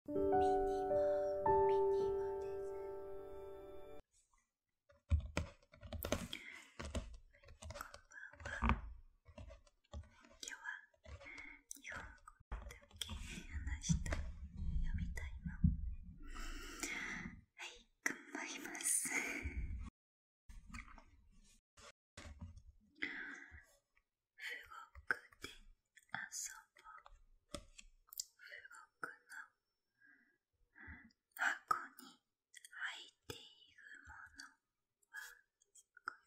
ミミニニモ、モです。こんは。は今日に話したい読みたいのはい頑張りますえ富くで遊ぼう富国の箱に入っているものはこ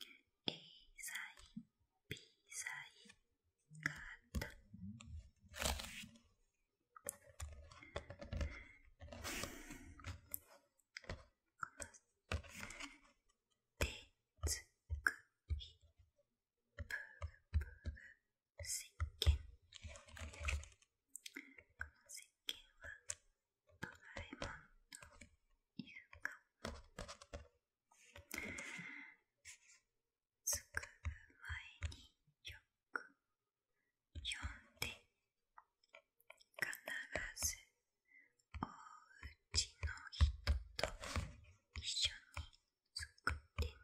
れで A サイビ B サインカードでつくひぷぐぷっけん。このせっけんはドラえもんといるかつ作るえによくよんでかならずおうちの人と一緒に作ってね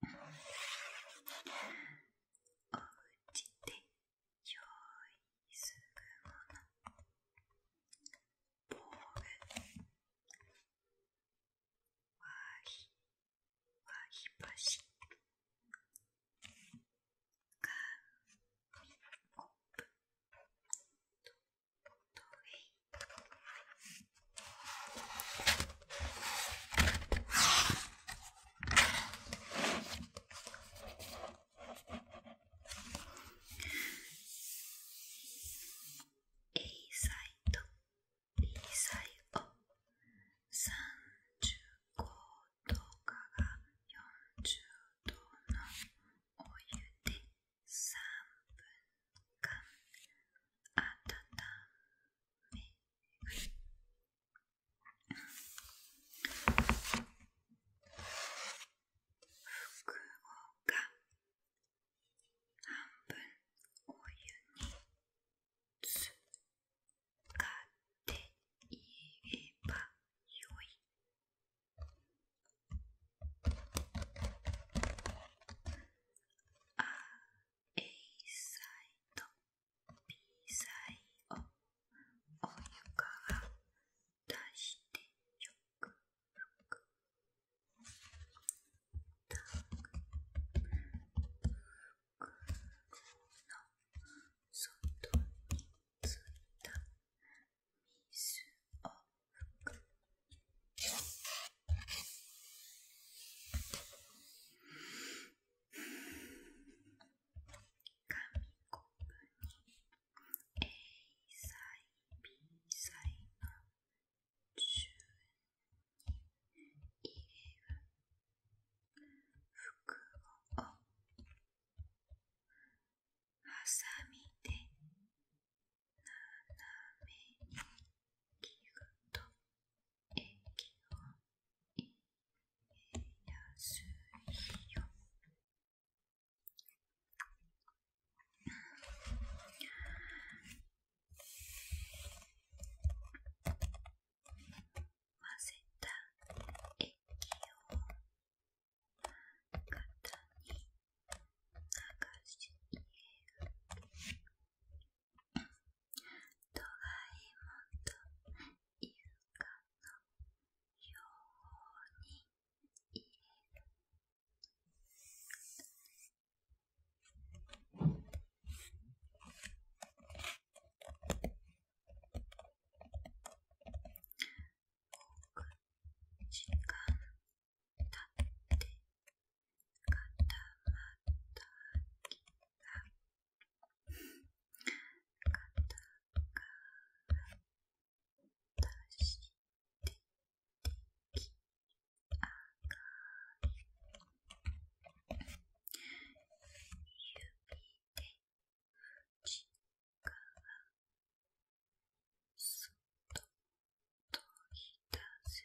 おうちでょいするものボールわひわひばし紙コップと。A サイド B サイ三十五度から四十度のお湯で分間温める福岡半分おゆにつかっていえばよい A さいと B さいをお湯からだしてよくよくたく袋のそ、と、についた水を拭く。紙コップに A 歳 B 歳の順に入れる。服をはさみで斜めに切ると液を入れやすいよ混ぜた液を型に流し入れるドラえもんとイルカのように入れる時間立って固まった秋が肩から出して出来上がり指で内側そっと取り出す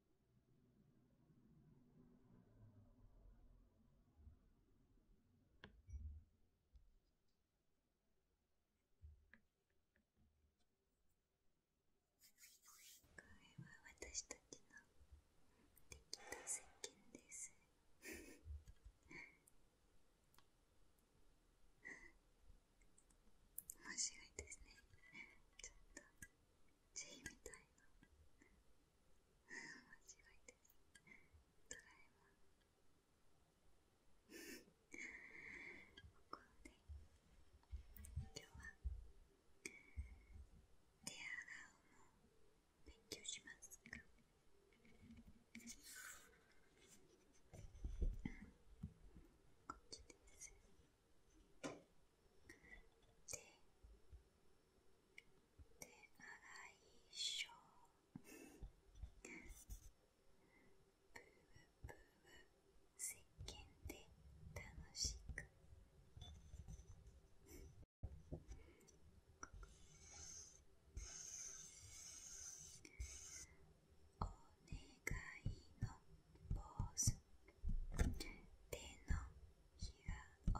これは私たちのできた石鹸です面白いですねちょっと J みたいな面白いですドラえもんここで今日は手洗うも勉強しますかこっちです手手洗いショーブーブ石鹸で楽しくお願いのポーズ手のを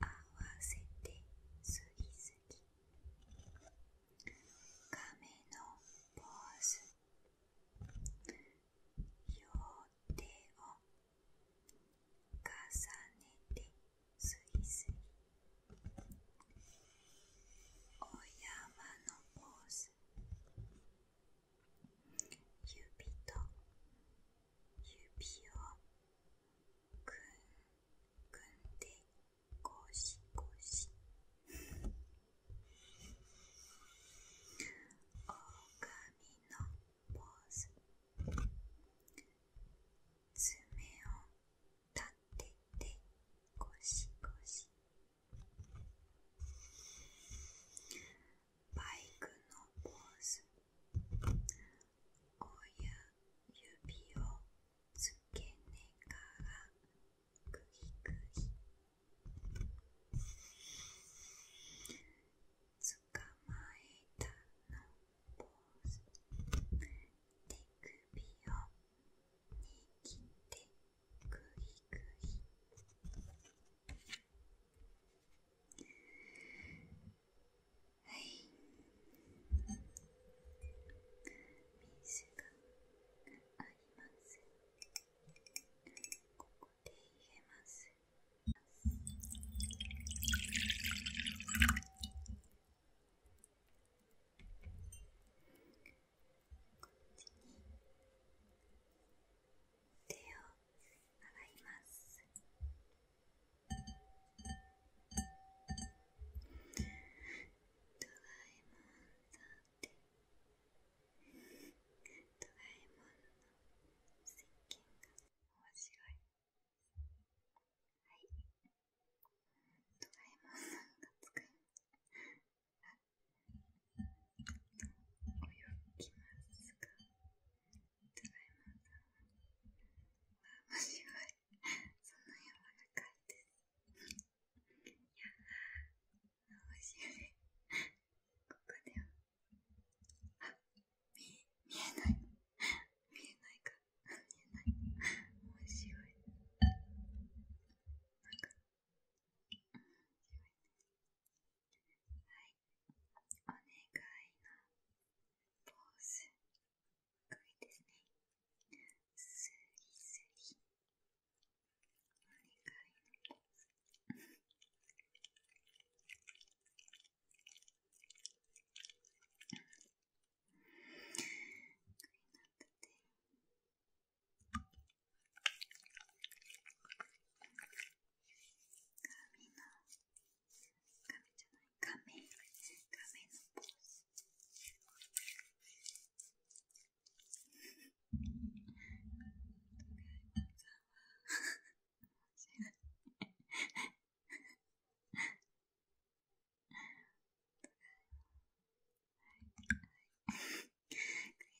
合わせてすぎすぎ亀のポーズ両手を重ねてすぎすぎお山のポーズ指と指をくんんでゴシゴシ狼のポーズ爪を立ててゴシゴシバイクのポーズ親指をつけながらグリグリつかまえたのポーズ手首を握ってグリグリはい名刺がありますここで入れますこっちに手を洗いますドラえもんドラえもんの石鹸がいはいドラえもん泳ぎますか。ドラえも面白い。その柔らかいです。いや面白い。ここでは、あ、見、えない。見えないか。見えない。面白い。なんか、はい。お願いのポーズこれですねスリスリお願いのポーズ髪の画面じゃない画面画面のポーズクリ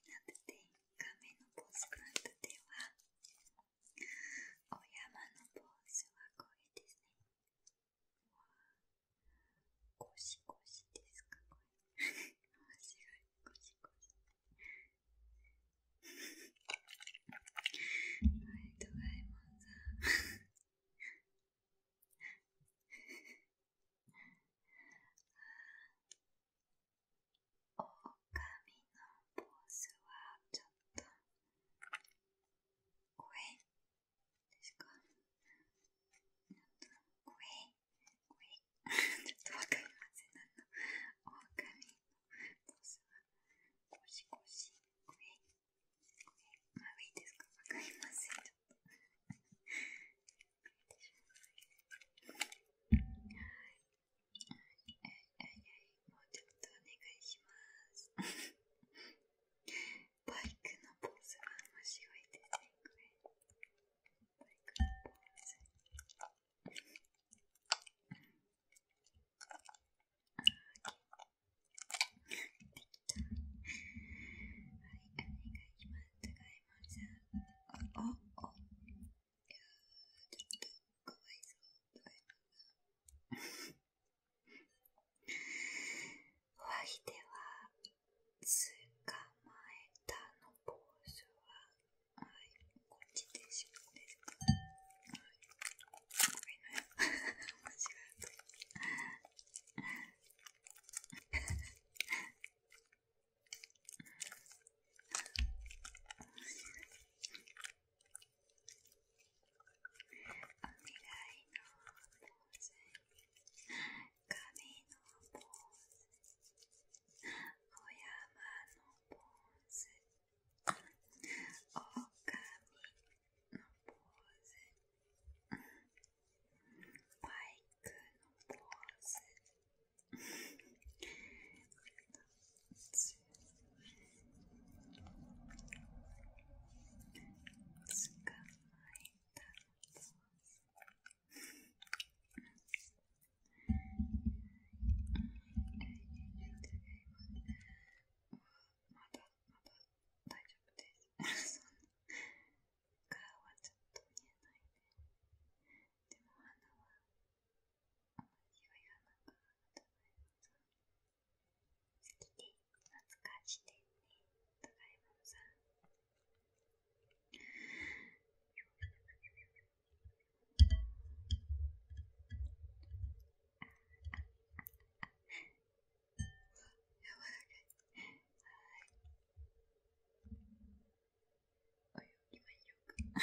ナテテ画面のポーズクラントテはお山のポーズはこれですね。ゴシゴシですかこれ。面白い。ゴシゴはい、ドラえもんさん。あ狼のボスはちょっと怖ですかちょちょっとわかりませんあの狼のポーズはゴシゴシ怖い怖いまあいいですかわかりませんちょっとはい、はいもうちょっとお願いします。バイクのポーズは面白いですね、れ。バイクのポーズ。できた。はい、お願いします。お、お、お、ちょっとかわいそうとか言っておあひでは捕まえたのポーズははいこっちでしょですかはいごめんなさい間違えた面白い。イののののポポポポーーーーズ、ズ、ズ、ズ、お山バクのポーズ。つ捕まえたまだまだ大丈夫です。顔はちょっと見えないね。でも鼻は私は世懐かしてねたかさんはい。お泳か。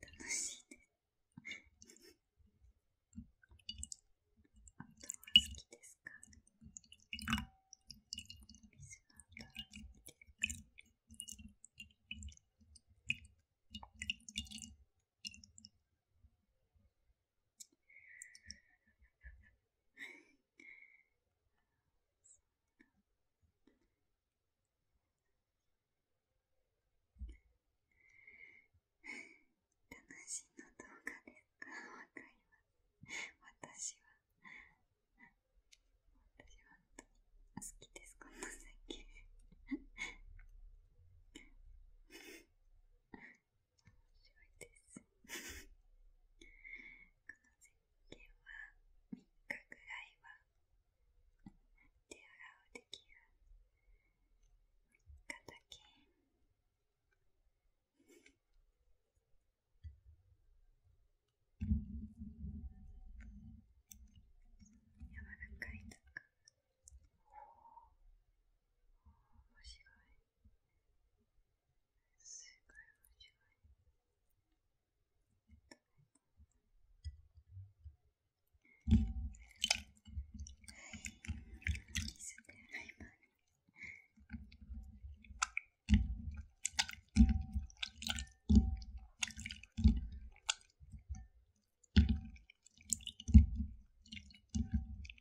楽しいね音は好きですか水は好きですかしいの動画が、すかわります。私は、私は本当に好きです、この先。白いですこの石鹸は3日ぐらいは手洗うできる3日だけ柔らかいとお。面白い正解は違いはい水で洗いますはい、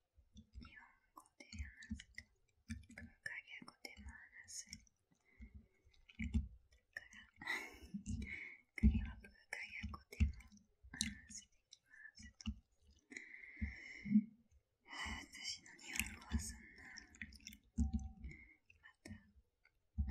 日本語で話すと文化語でも話すから彼は文化語でも話していきますと私の日本語はそんなまたまた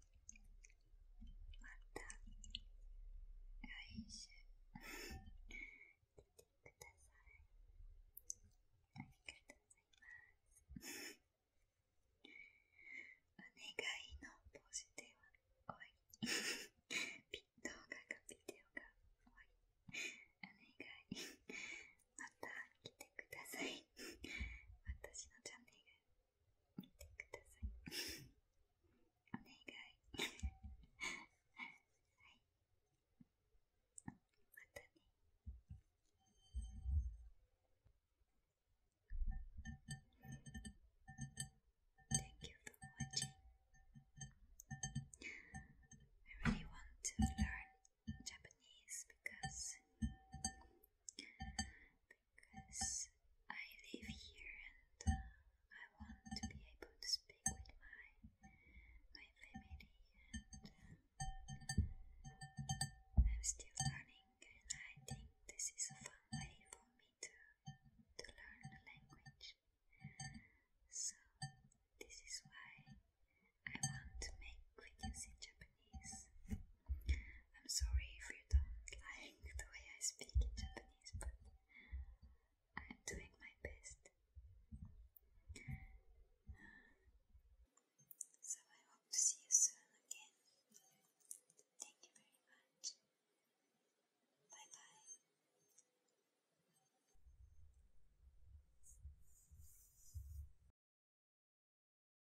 また来週来てくださいありがとうございますお願いのポジティブは終わり動画がビデオが終わりお願いまた来てください私のチャンネル Thank you for watching. I really want to learn Japanese because because I live here and uh, I want to be able to speak with my my family uh, I'm still learning and I think this is a fun way for me to to learn the language. So this is why I want to make videos in Japanese. I'm sorry if you don't like the way I speak in Japanese, but I'm doing my best. So I hope to see you soon again. Thank you very much. Bye bye.